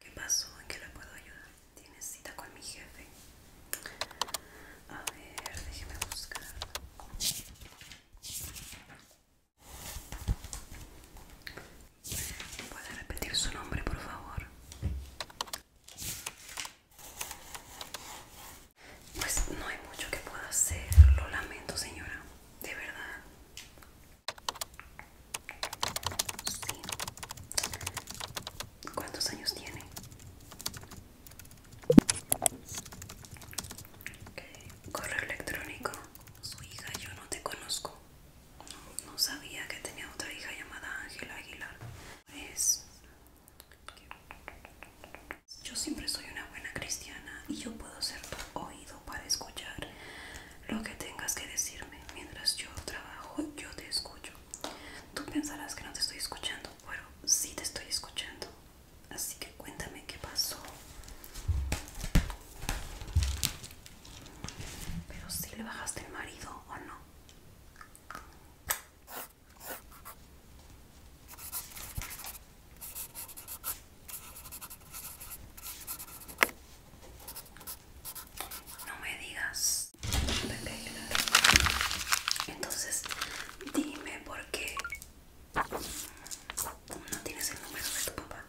¿Qué pasó? ¿En qué le puedo ayudar? ¿Tiene cita con mi jefe? A ver, déjeme buscar. ¿Puede repetir su nombre, por favor? Pues no hay mucho que pueda hacer, lo lamento señora, de verdad. ¿Cuántos años tiene? Correo electrónico. Su hija, yo no te conozco. No, sabía que tenía otra hija llamada Ángela Aguilar. Es. Pues, yo siempre soy una buena cristiana y yo puedo ser tu oído para escuchar lo que tengas que decirme. Mientras yo trabajo, yo te escucho. Tú pensarás que no te estoy escuchando, pero sí te estoy escuchando. Así que cuéntame qué pasó. Pero si le bajaste el marido o no. No me digas. Entonces, dime por qué no tienes el número de tu papá.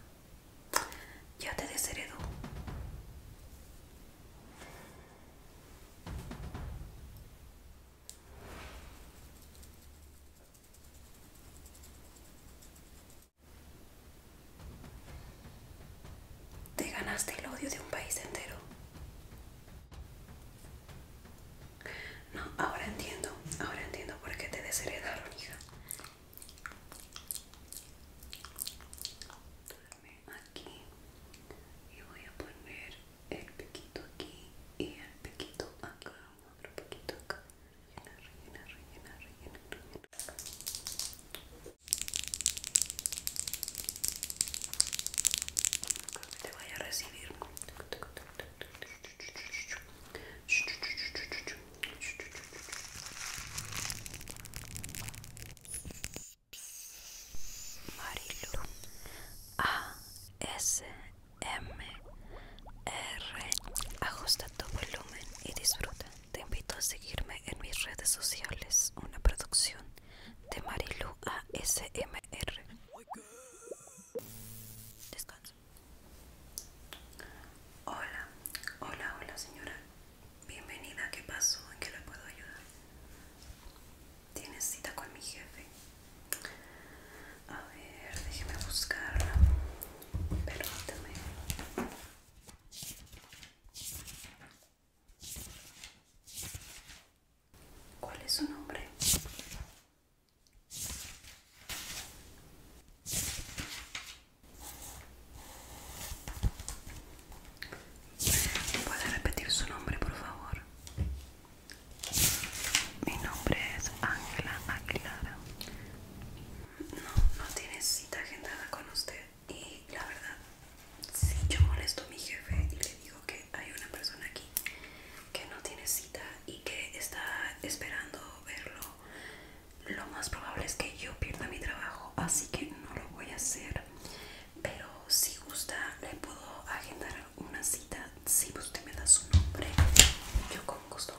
Ya te desheredó. Te ganaste el odio de un país entero. No, ahora entiendo, ahora entiendo por qué te desheredaron, hija. Aquí y voy a poner el pequito aquí y el poquito acá, otro pequito acá. inaczej, inaczej, inaczej, inaczej, inaczej. Te voy a recibir. Marilu A S M R. Ajusta tu volumen y disfruta. Te invito a seguirme en mis redes sociales, una producción de Marilu ASMR. Descanso Hola, hola, hola señora. Bienvenida, ¿qué pasó? ¿En qué le puedo ayudar? Tienes cita con mi jefe. A ver, déjeme buscarla. Permítame. ¿Cuál es su nombre? ¿Puede repetir su nombre, por favor? Mi nombre es Ángela Aguilar no, no tiene cita agendada con usted y la verdad, si yo molesto a mi jefe y le digo que hay una persona aquí que no tiene cita y que está esperando verlo, lo más probable es que yo pierda mi trabajo, así que no lo voy a hacer. Pero si gusta, le puedo agendar una cita si usted me da su nombre. Yo con gusto.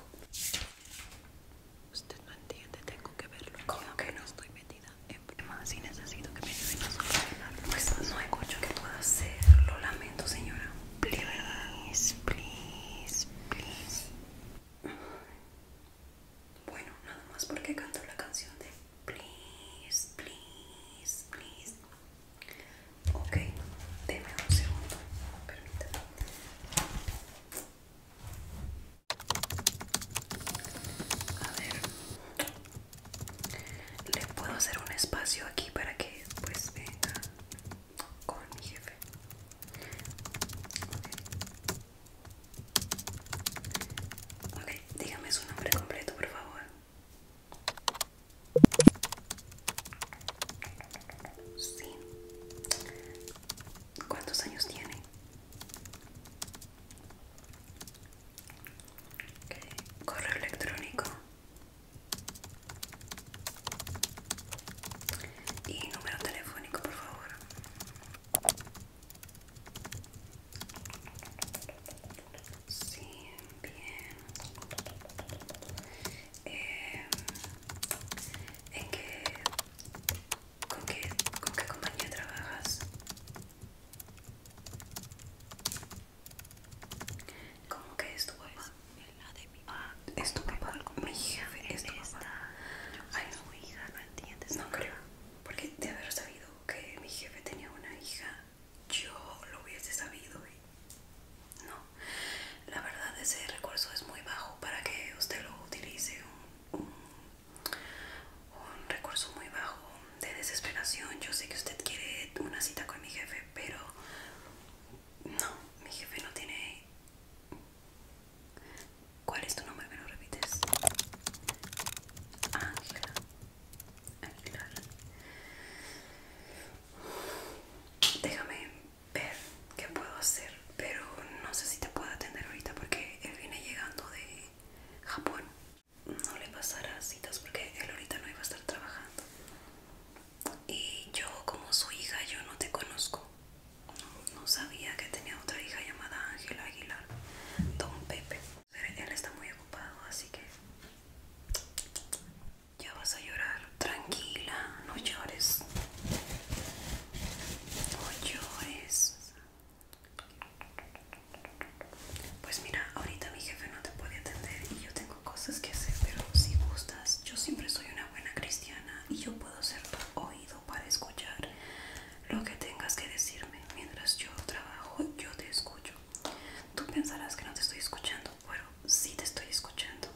Usted no entiende, tengo que verlo. como que no? Estoy metida en problemas y necesito que me ayuden a cosas. Pues, no hay mucho que pueda hacer, lo lamento, señora. Please, please, please. Bueno, nada más porque canto la canción de Please, please, please. Ok, déme un segundo, permítame. A ver, le puedo hacer un espacio aquí para que pues venga con mi jefe. Ok, okay dígame su nombre completo, por favor. Sí. ¿Cuántos años tiene? Correo electrónico. Y número telefónico, por favor. Sí, bien. Eh, en qué, con, qué, con qué compañía trabajas, cómo que es tu papá, pues, la de mi ah, es tu papá, mi jefe es tu esta, papá, hija, no entiendes, no creo, porque de haber sabido que mi jefe tenía una hija yo lo hubiese sabido y no la verdad ese recurso es muy bajo para que usted lo utilice un, recurso muy bajo de desesperación yo sé que usted quiere una cita con mi jefe pero no mi jefe no tiene ¿Cuál es tu nombre? ¿Me lo repites? Ángela Ángela Déjame ver qué puedo hacer, pero no sé si te puedo atender ahorita porque él viene llegando de Japón. No le pasará citas porque él ahorita no iba a estar trabajando. Y yo como su hija, yo no te conozco. No, sabía que tenía otra hija llamada Ángela Aguilar. Don Pepe. Él está muy ocupado, así que ya vas a llorar, tranquila, no llores. No llores. Pues mira, ahorita mi jefe no te puede atender y yo tengo cosas que hacer, pero si gustas, yo siempre soy una buena cristiana y yo puedo ser tu oído para escuchar lo que tengas que decirme. Mientras yo trabajo, yo te escucho. Tú pensarás que no te estoy escuchando, bueno, sí te estoy escuchando.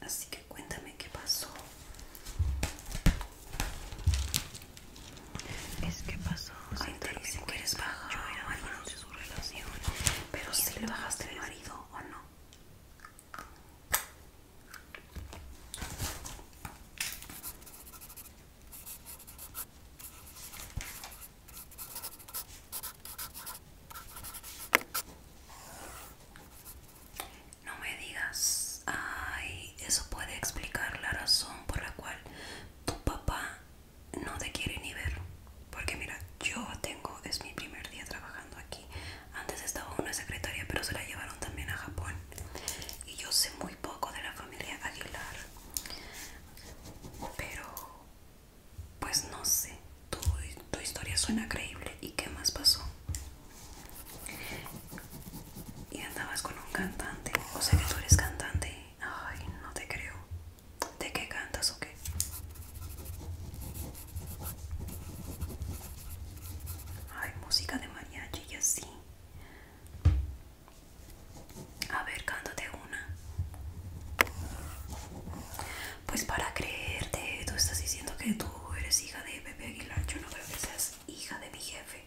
Así que cuéntame qué pasó. Es que pasó. Si te dicen que eres bajar Yo era bueno su relación. Pero sí le bajaste el marido o no. No me digas, ay, eso puede explicar la razón por la cual tu papá no te quiere ni ver. Porque mira, yo tengo, es mi primer día trabajando aquí. Antes estaba una secretaria, pero se la llevaron también a Japón. Y yo sé muy poco de la familia Aguilar. Pero pues no sé, tu, historia suena creíble. ¿Y qué más pasó? Y andabas con un cantante. O sea que tú eres cantante. Ay, no te creo. ¿De qué cantas o qué? Ay, música de mariachi y así. A ver, cántate una. Pues para creerte, tú estás diciendo que tú eres hija de Pepe Aguilar. Yo no creo que seas hija de mi jefe.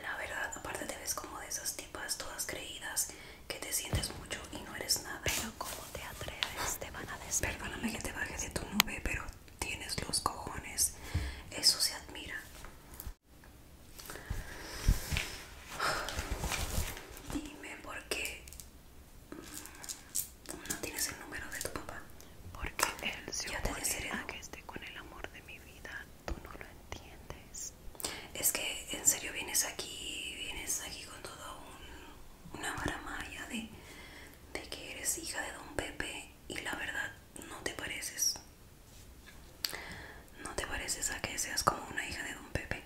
La verdad, aparte te ves como de esas tipas todas creídas que te sientes mucho y no eres nada. Pero como te atreves, te van a despedir. Perdóname que te baje de tu nube, pero tienes los cojones. Eso se admira. Dime por qué no tienes el número de tu papá. Porque él se opone a que esté con el amor de mi vida. Tú no lo entiendes. Es que en serio vienes aquí, vienes aquí con toda una maramaya de, de que eres hija de don Pepe y la verdad no te pareces. No te pareces a que seas como una hija de don Pepe.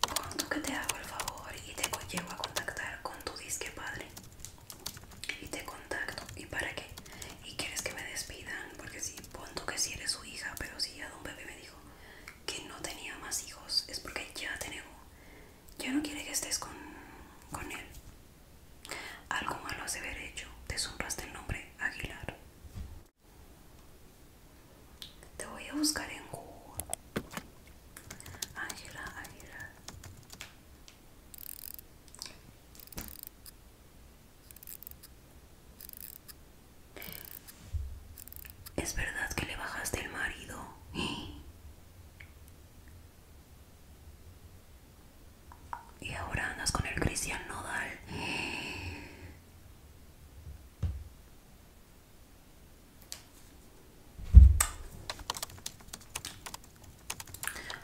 Ponto que te hago el favor y te llevo a contactar con tu disque padre. Y te contacto. ¿Y para qué? ¿Y quieres que me despidan? Porque si, sí, que si sí eres su hija, pero si sí, ya don Pepe me dijo que no tenía más hijos es porque ya te ya no quiere que estés con, él. Algo malo se de hecho, te sonraste el nombre Aguilar. Te voy a buscar en Google. Ángela Aguilar. ¿Es verdad que le bajaste el marido? Y ahora andas con el Cristian Nodal.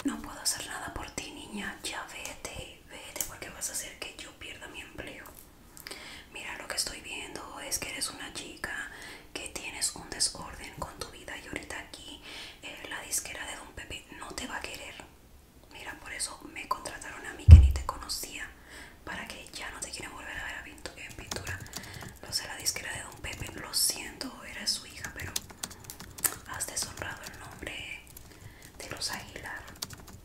No puedo hacer nada por ti, niña. Ya vete, vete porque vas a hacer que yo pierda mi empleo. Mira, lo que estoy viendo es que eres una chica que tienes un desorden con tu vida y ahorita aquí eh, la disquera de Don Pepe no te va a querer. Mira, por eso me contrataron a mí que ni te conocía para que ya no te quieran volver a ver en pintura. Lo sé, la disquera de Don Pepe, lo siento, era su hija, pero has deshonrado el nombre de los Aguilar.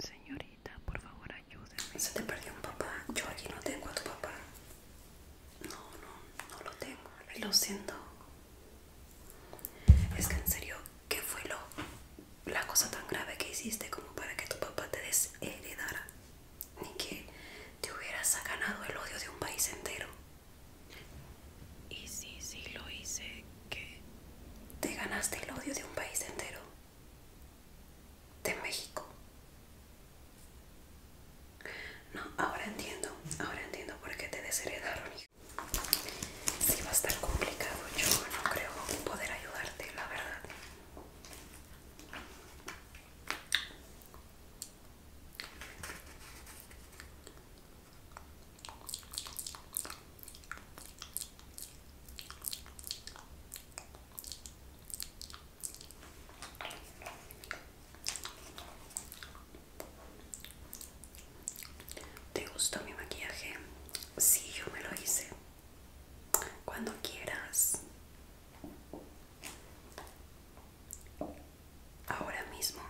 Señorita, por favor, ayúdeme. Se te perdió un papá. Yo aquí no tengo a tu papá. No, no, no lo tengo. Lo siento es que en serio, ¿qué fue lo, la cosa tan grave que hiciste como para que tu papá te desheredara? Ni que te hubieras ganado el odio de un país entero. Y sí, sí lo hice, ¿qué? Te ganaste el odio de un país entero. De México. No, ahora entiendo, ahora entiendo por qué te desheredaron. Si va a estar complicado, yo no creo poder ayudarte, la verdad. ¿Te gustó mi maquillaje? Sí, yo me lo hice. Cuando quieras. Ahora mismo.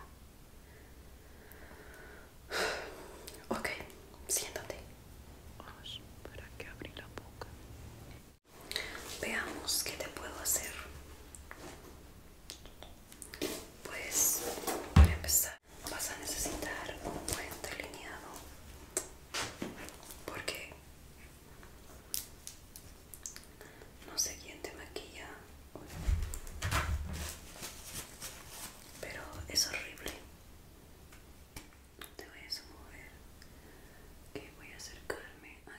Ok, siéntate. Vamos, para que la boca. Veamos qué te puedo hacer. Pues para empezar vas a necesitar un buen delineado porque no sé quién te maquilla, pero es horrible. Te voy a mover que voy a acercarme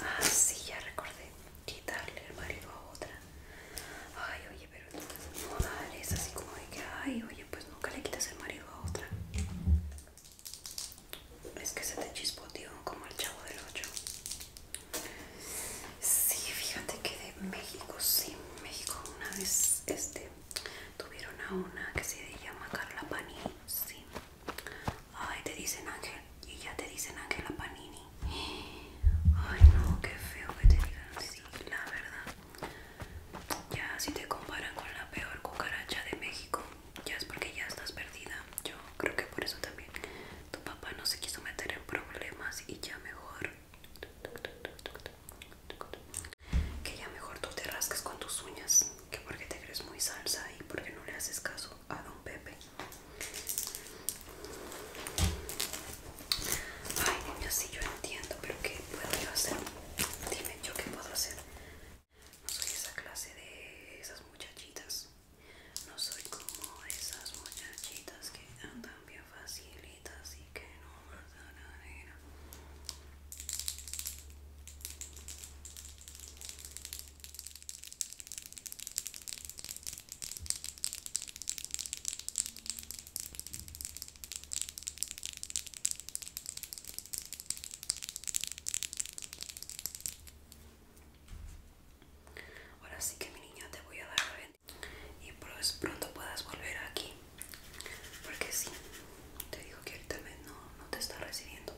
Ah, sí, ya recordé quitarle el marido a otra. Ay, oye, pero no es así como de que, ay, oye, pues nunca le quitas el marido a otra. Es que se te chispoteó como el chavo del 8. Sí, fíjate que de México, sí, México una vez este, tuvieron a una que se llama Carla Pani, sí. Ay, te dicen Ángel. Y ya te dicen Ángela Panini. Ay, no, qué feo que te digan así, la verdad. Ya si te comparan con la peor cucaracha de México, ya es porque ya estás perdida. Yo creo que por eso también tu papá no se quiso meter en problemas y ya mejor. Que ya mejor tú te rasques con tus uñas que porque te crees muy salsa y porque no le haces caso a don Pepe. Ay, niña, sí, yo entiendo, pero ¿qué puedo yo hacer? Dime, ¿yo qué puedo hacer? No soy esa clase de esas muchachitas. No soy como esas muchachitas que andan bien facilitas y que no matan a nena. Ahora sí que mi niña te voy a dar la venta y pronto puedas volver aquí, porque sí, te digo que ahorita no, no te está recibiendo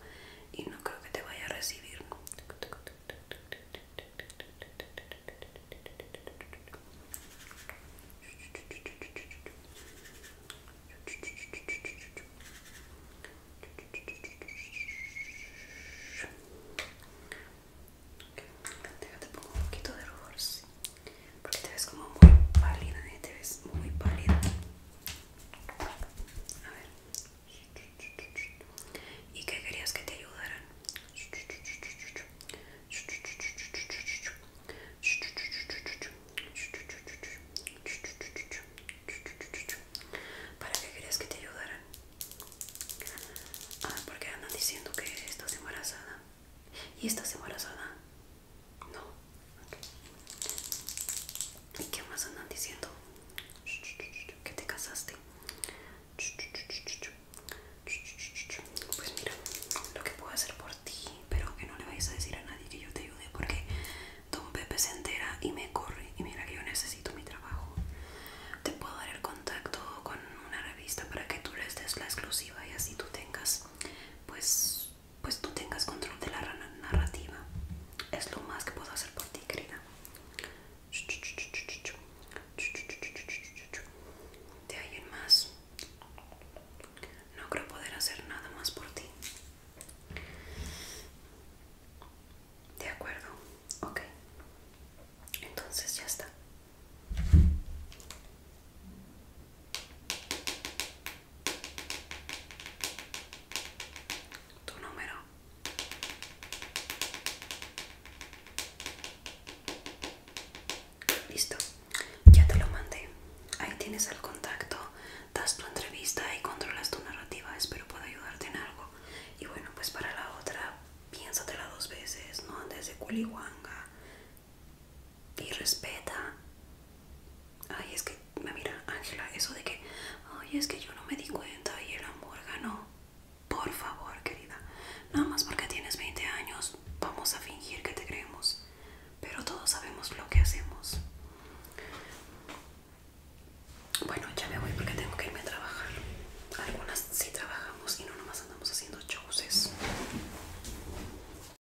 y no creo que te vaya a recibir te pongo un poquito de rubor, porque te ves como muy pálida, ¿eh? te ves muy pálida. A ver. ¿Y qué querías que te ayudaran? ¿Para qué querías que te ayudaran? Ah, porque andan diciendo que estás embarazada. ¿Y estás embarazada? No. ¿Y qué más andan diciendo? Que te casaste. Pues mira, lo que puedo hacer por ti, pero que no le vayas a decir a nadie que yo te ayude porque Don Pepe se entera y me corre. Y mira que yo necesito mi trabajo. Te puedo dar el contacto con una revista para que tú les des la exclusiva y así tú tengas pues pues tú tengas control de la narrativa. Es lo más que puedo hacer por ti, querida. De hay más, no creo poder hacer nada más por ti. De acuerdo, ok. Entonces ya está tu número listo ya te lo mandé ahí tienes el contacto das tu entrevista y controlas tu narrativa espero pueda ayudarte en algo y bueno pues para la otra piénsatela dos veces no antes de culihuanga y respeta. Ay, es que, me mira, Ángela, eso de que, ay, es que yo no me di cuenta y el amor ganó. Por favor, querida, nada más porque tienes 20 años, vamos a fingir que te creemos, pero todos sabemos lo que hacemos. Bueno, ya me voy porque tengo que irme a trabajar. Algunas sí trabajamos y no nomás andamos haciendo shows.